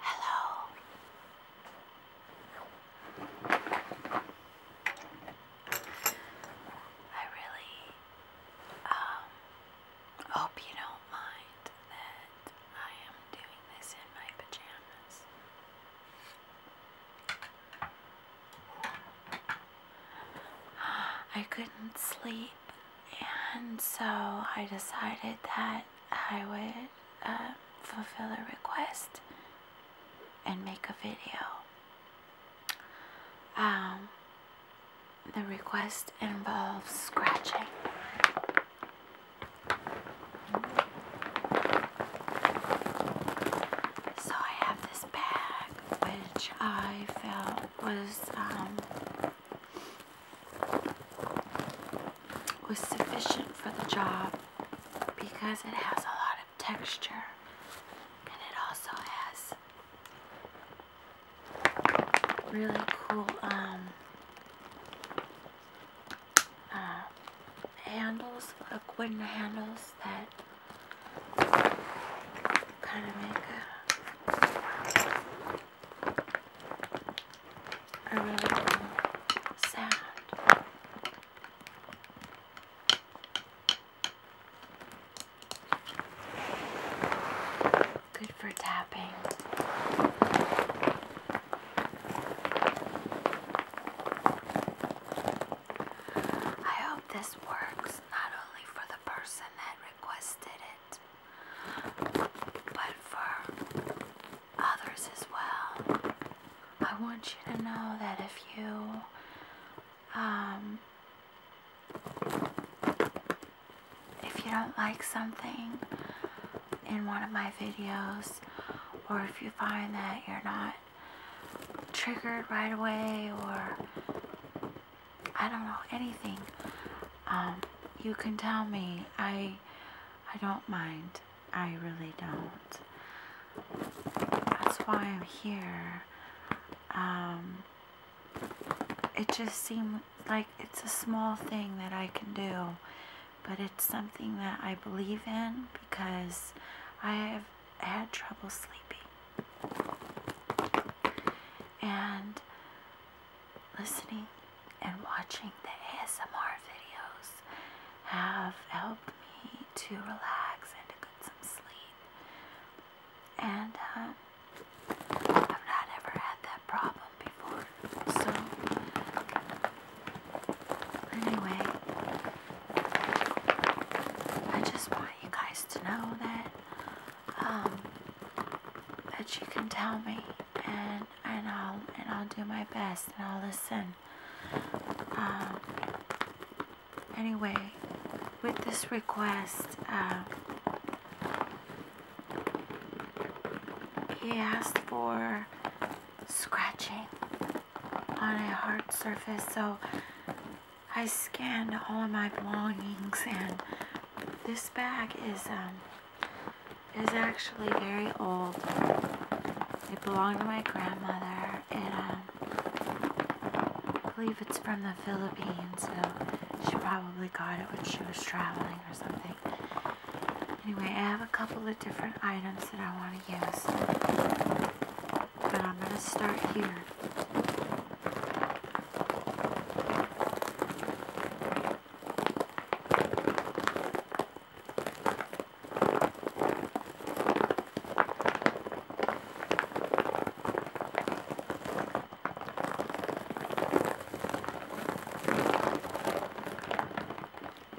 Hello. I really um, hope you don't mind that I am doing this in my pajamas. I couldn't sleep, and so I decided that I would uh, fulfill a request and make a video. Um, the request involves scratching. So I have this bag which I felt was um, was sufficient for the job because it has a lot of texture and it also has really cool um uh, handles, like wooden handles that kind of make a, really cool sound. Good for tapping. I hope this works not only for the person that requested it, but for others as well. I want you to know that if you um if you don't like something in one of my videos, or if you find that you're not triggered right away, or I don't know, anything, um, you can tell me. I, I don't mind. I really don't. That's why I'm here. Um, it just seemed like it's a small thing that I can do but it's something that I believe in because I have had trouble sleeping. And listening and watching the ASMR videos have helped me to relax and to get some sleep. And uh, I've not ever had that problem before. So, anyway, I just want you guys to know that, um, that you can tell me, and and I'll and I'll do my best, and I'll listen. Um, anyway, with this request, um, he asked for scratching on a hard surface. So I scanned all of my belongings and this bag is um, is actually very old. It belonged to my grandmother and um, I believe it's from the Philippines so she probably got it when she was traveling or something. Anyway, I have a couple of different items that I want to use. But I'm going to start here.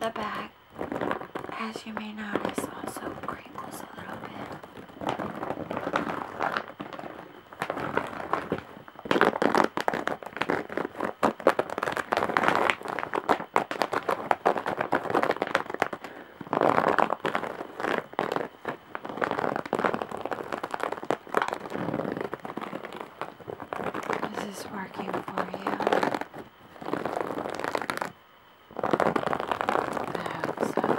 The bag, as you may notice, also crinkles a little bit. This Is working for you? I hope so.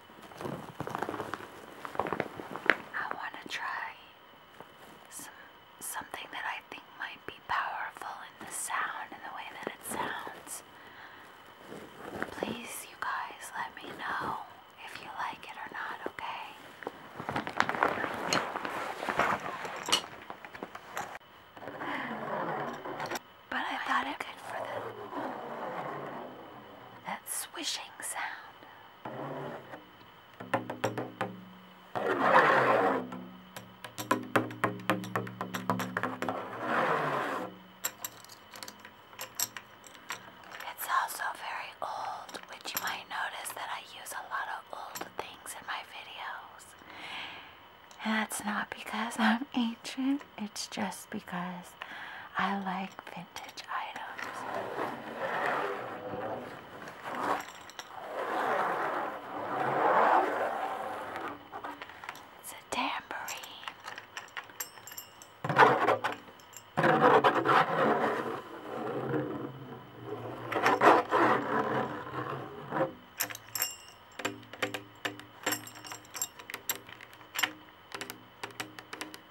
I want to try some something that I think might be powerful in the sound and the way that it sounds. Please, you guys, let me know if you like it or not, okay? But I thought it good for the that swishing sound. It's also very old, which you might notice that I use a lot of old things in my videos. And that's not because I'm ancient, it's just because I like vintage items. It's a tambourine.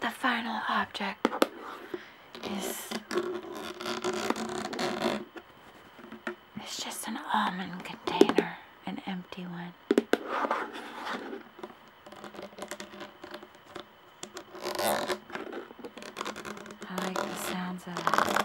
The final object is it's just an almond container, an empty one. I like the sounds of it.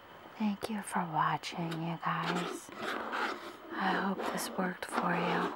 Thank you for watching, you guys. I hope this worked for you.